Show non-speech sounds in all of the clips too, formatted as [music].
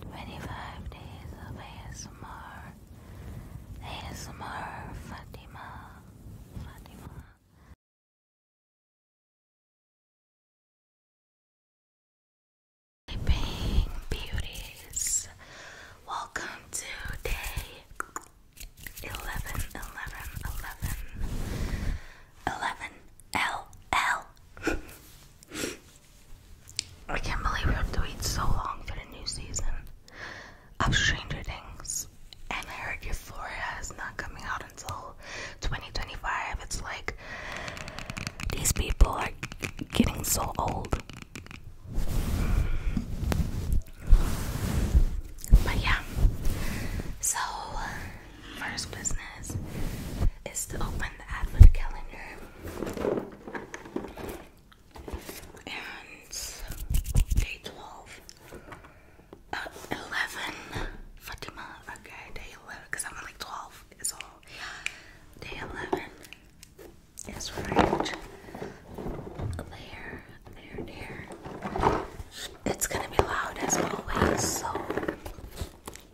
25 Days of ASMR ASMR Fatima Fatima Sleeping Beauties Welcome to day 11 11 11 11 L L [laughs] I can't believe we have to wait so long for the new season of Stranger Things. And I heard Euphoria is not coming out until 2025. It's like these people are getting so old. But yeah, so first business is to open the advent calendar. And day 12, uh, Fatima, okay, day 11, because I'm like 12 is all. Day 11 is right there, there, there. It's gonna be loud as always, so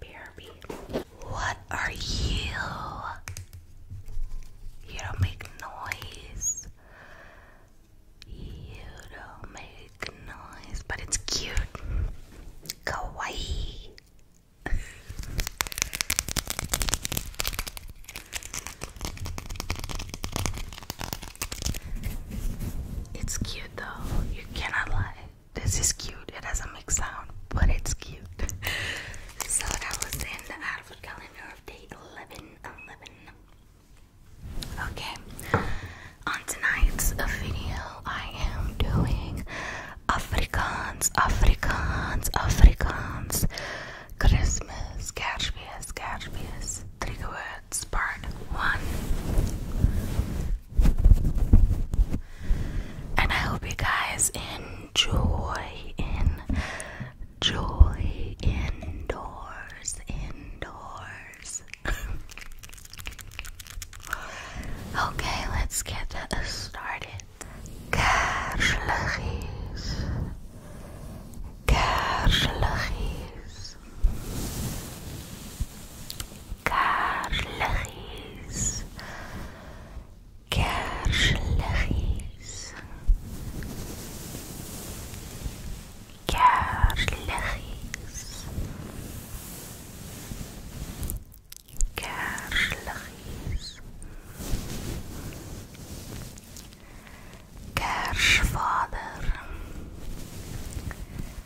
BRB. What are you? You don't make noise. You don't make noise, but it's cute. Kawaii. it's cute though, you cannot lie. This is cute. It doesn't make sound, but it's cute. [laughs] so that was in the outfit calendar of day 11 11. Okay. On tonight's video, I am doing Afrikaans, Afrikaans, Afrikaans, Christmas, Kerstmis, Kerstmis, trigger part 1. And I hope you guys enjoy, enjoy indoors, indoors. [laughs] okay, let's get uh, started. Kersluggies. Kersluggies. كارلخيس كارلخيس كارلخيس كارلخيس كارش فادر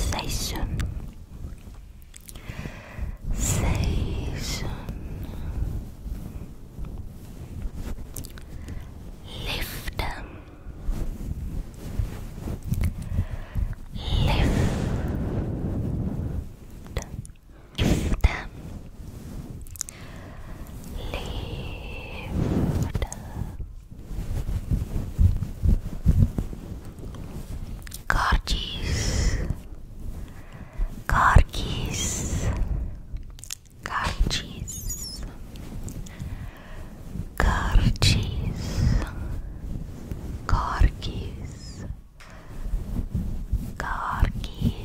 station station lift lift lift lift Gorgeous, gorgeous, gorgeous, gorgeous, gorgeous, gorgeous.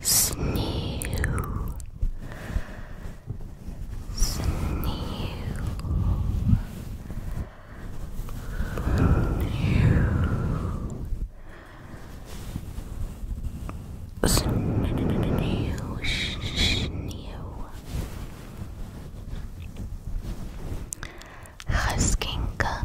Snew, snew. Huskinka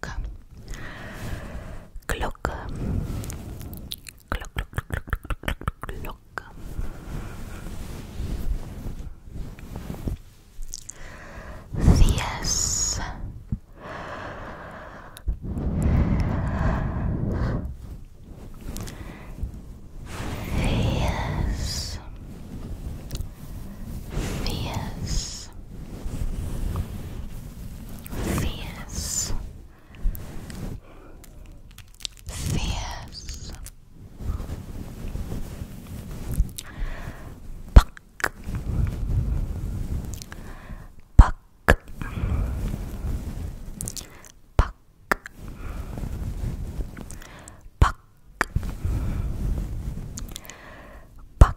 Clock. Clock, clock, clock, clock, clock. Yes. Yes. Yes. Venus. Fierce. Buck. Buck. Buck. Buck. Buck.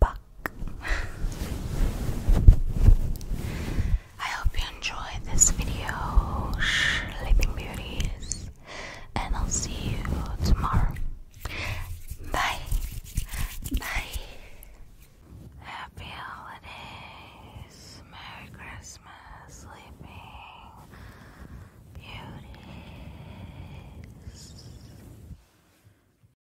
Buck. I hope you enjoyed this video, Sleeping Beauties, and I'll see you tomorrow. Bye. Bye. Happy holidays. Merry Christmas, Sleeping Beauties.